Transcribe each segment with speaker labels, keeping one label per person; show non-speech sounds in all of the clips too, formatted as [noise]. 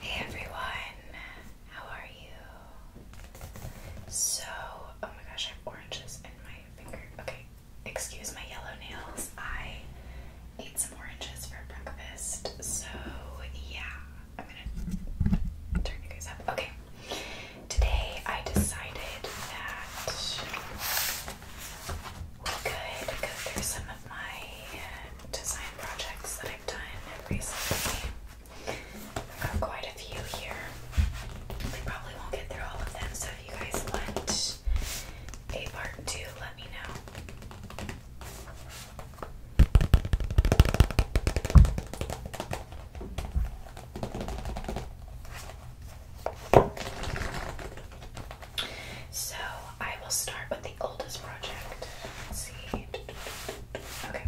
Speaker 1: Hey everyone, how are you? So, oh my gosh, I have oranges in my finger. Okay, excuse my yellow nails. I ate some oranges for breakfast, so yeah, I'm gonna turn you guys up. Okay, today I decided that We'll go through some of my design projects that I've done recently. I've got quite a few here. We probably won't get through all of them, so if you guys want a part two, let me know. So I will start with the oldest project. Let's see. Okay.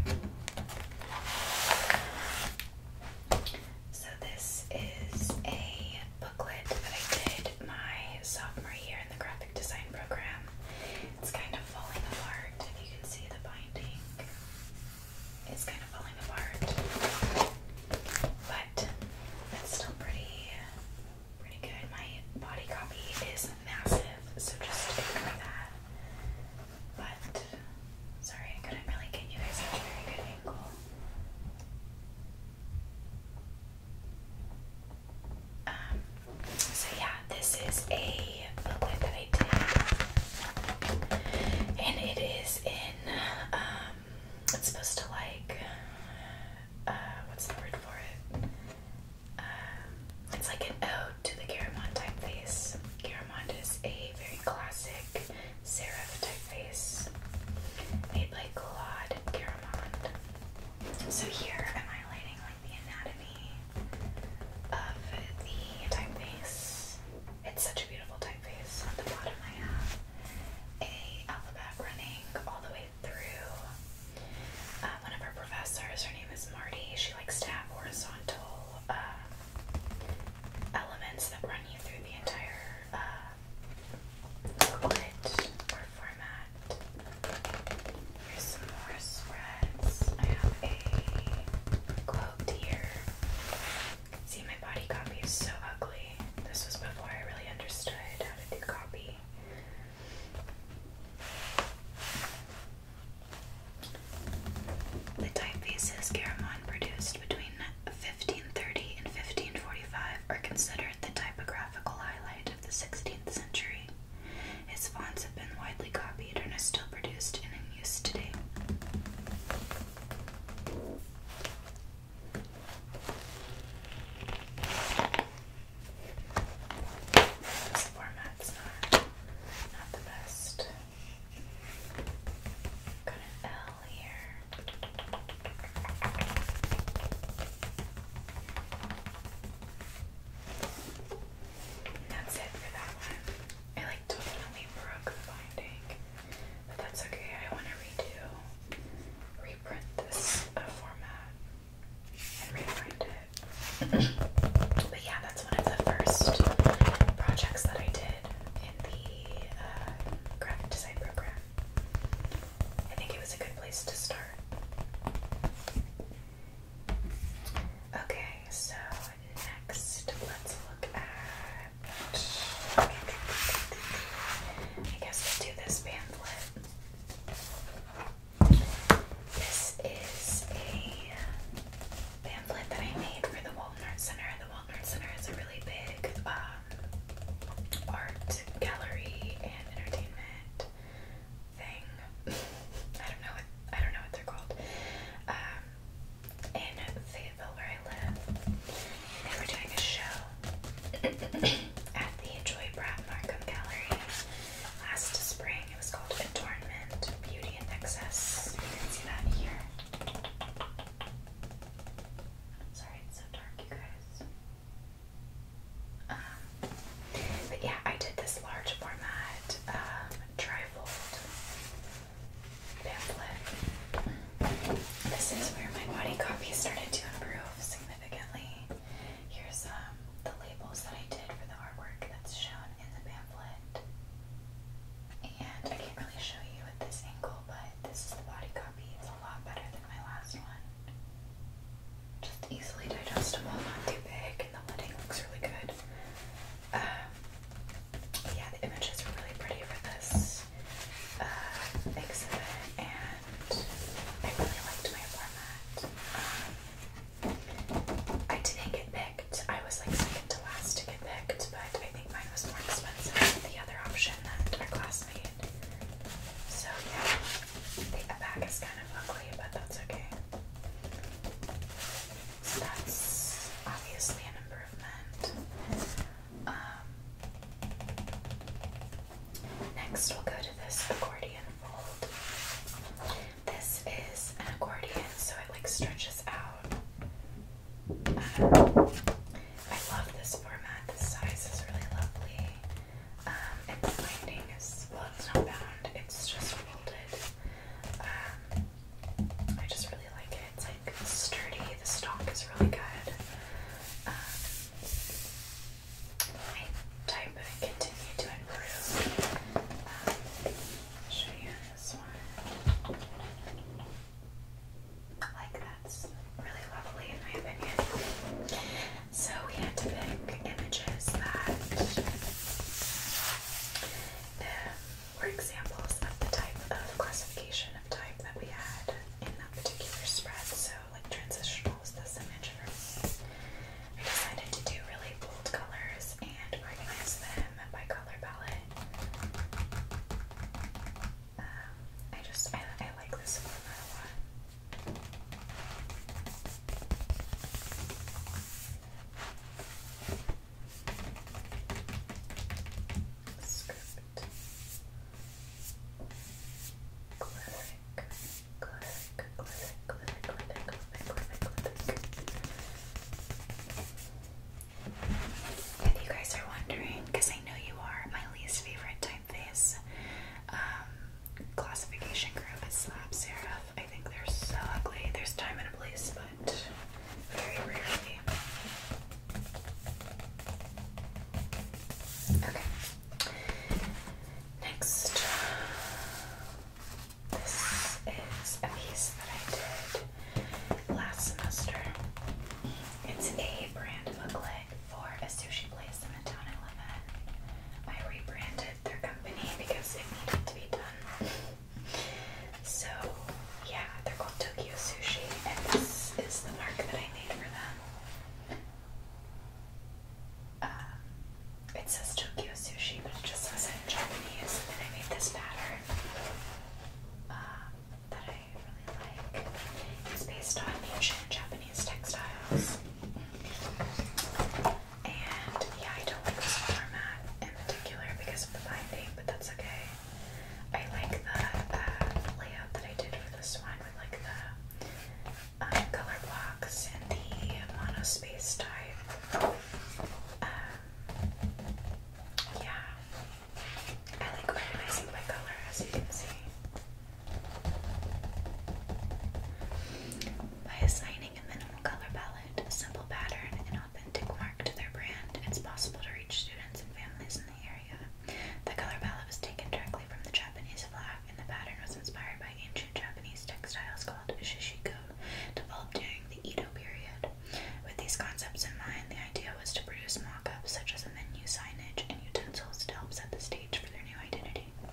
Speaker 1: So this is a booklet that I did my sophomore year in the graphic design program. It's kind of falling apart. If you can see the binding, it's kind of falling apart. But it's still pretty pretty good. My body copy is massive, so just ignore that. But sorry, I couldn't really get you guys a very good angle. Um, so yeah, this is a booklet that I did, and it is in um, it's supposed to like uh, what's the word for it? Um, it's like an ode to the Garamond typeface. Garamond is a very classic serif typeface made by Claude Garamond. So here I'm highlighting like the anatomy of the typeface. It's such a beautiful typeface. On the bottom I have a alphabet running all the way through. Uh, one of our professors, her name is Marty, she likes to have horizontal uh, elements that run you through the entire uh, format. Here's some more spreads. I have a quote here. See, my body copy is so ugly. This was before I really understood how to do copy. The typefaces Garamond produced between 1530 and 1545 are considered the typographical highlight of the 16th century. His fonts have been widely copied and are still produced and in use today. This format's not, the best. Got an L here. That's it for that one. I like totally broke the binding. But that's okay, I want to redo, reprint this uh, format and reprint it. but yeah, that's one of the first projects that I did in the uh, graphic design program. I think it was a good place to start. Okay, so next let's look at I guess we'll do this pamphlet. This is a pamphlet that I made for the Walnut Center. The Walnut Center is a really big um, art gallery and entertainment thing. [laughs] I don't know what I don't know what they're called. Um, I live. They were doing a show [coughs] at the Joy Brad Gallery last spring. It was called Adornment, Beauty and Excess. You can see that here. Sorry, it's so dark, you guys. Um, but yeah, I did this large format um, trifold pamphlet. This is where my body copy started to improve significantly. Here's um, the labels that I did for the artwork that's shown in the pamphlet. And I can't really show you at this angle, but this body copy. It's a lot better than my last one. Just easily digestible, not too big, and the lighting looks really good. Um, yeah, the images were really pretty for this uh, exhibit, and I really liked my format. Um, I didn't get picked. I was like second to last to get picked, but I think mine was more expensive than the other option that our class made. So yeah, the back is kind of ugly, but that's okay that's obviously an improvement. Um, next, we'll go to this accordion fold. This is an accordion, so it like stretches out. Um, I love this format. This size is really lovely. Um, binding is well, not bound; it's just folded. Um, I just really like it. It's like sturdy. The stock is really good. Um, type of continue to improve. Um, show you this one. Like that's really lovely in my opinion. So we had to pick images that were examples of the type of classification of type that we had in that particular spread. So, like transitional was this image for me. I decided to do really bold colors and organize them by color palette. Um, I just I, like this one. a lot. If you guys are wondering, because I know you are, my least favorite typeface um, classification group is Slab Serif. I think they're so ugly. There's time and a place, but very rarely. Okay. Next, this is a piece that I did last semester. It's a brand booklet for a sushi place in the town I live in. I rebranded their company because it needed to be done. So, yeah, they're called Tokyo Sushi, and this is the mark that I made for them. Um, it says Tokyo Sushi, but it just says it in Japanese, and I made this pattern um, that I really like. It's based on ancient Japanese textiles. And yeah, I don't like this format in particular because of the binding, but that's okay. I like the uh, layout that I did for this one I like the um, color blocks and the monospace type. Um, yeah, I like organizing by color as you can see. By assigning a minimal color palette, a simple pattern, and authentic mark to their brand, it's possible to reach students and families in the area. The color palette was taken directly from the Japanese flag, and the pattern was inspired by ancient Japanese textiles called shishiko, developed during the Edo period. With these concepts in mind, the idea was to produce mock ups such as menu signage and utensils to help set the stage for their new identity.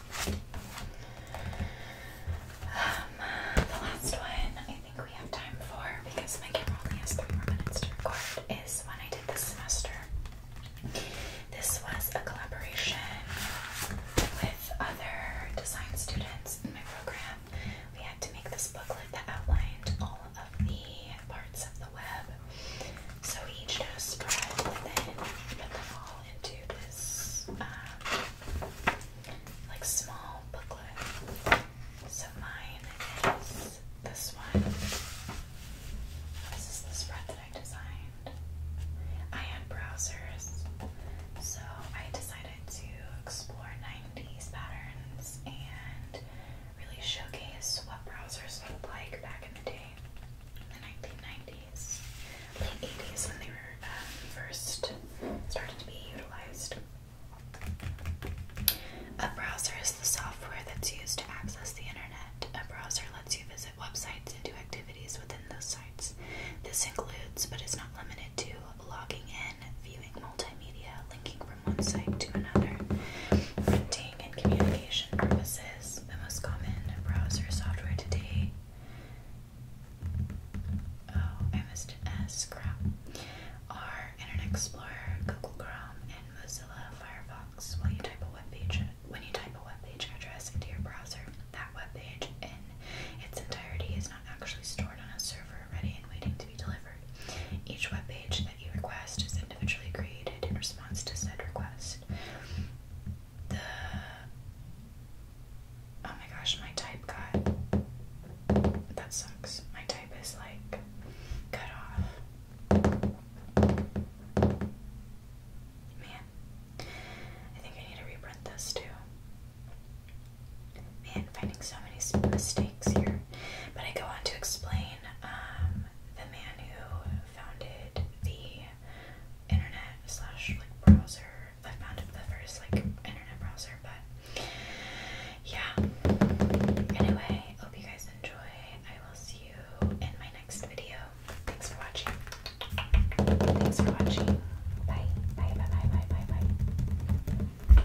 Speaker 1: the last one I think we have time for because my camera only has three more minutes to record is one I did this semester. This was a collaboration with other design students in my program. We had to make this booklet that outlined all of the parts of the web. So we each did a spread and then put them all into this um, like small booklet. So mine is this one. This is the spread that I designed. I had browsers, so I decided to explore 90s patterns and really showcase what browsers looked like back in the day, in the 1990s late 80s when they were um, first started to be utilized. A browser is the software that's used to access the internet. A browser lets you visit websites and do activities within those sites. This includes, but is not limited to, logging in, viewing multimedia, linking from one site to another, printing and communication purposes. The most common browser software today Oh, I missed an S. Crap. Internet Explorer, Google Chrome, and Mozilla Firefox. Will you type a web page when you type a web page address into your browser? That web page in its entirety is not actually stored on a server ready and waiting to be delivered. Each web page that you request is individually created in response to said request oh my gosh, my type cut. that sucks. My type is like cut off. Man, I think I need to reprint this too. Man, finding so many mistakes here. But I go on to explain um, the man who founded the internet slash like browser. I found it the first like internet browser, but yeah. Anyway, hope you guys enjoy. I will see you in my next video. Thanks for watching. Thanks for watching. Bye. Bye bye bye bye bye bye.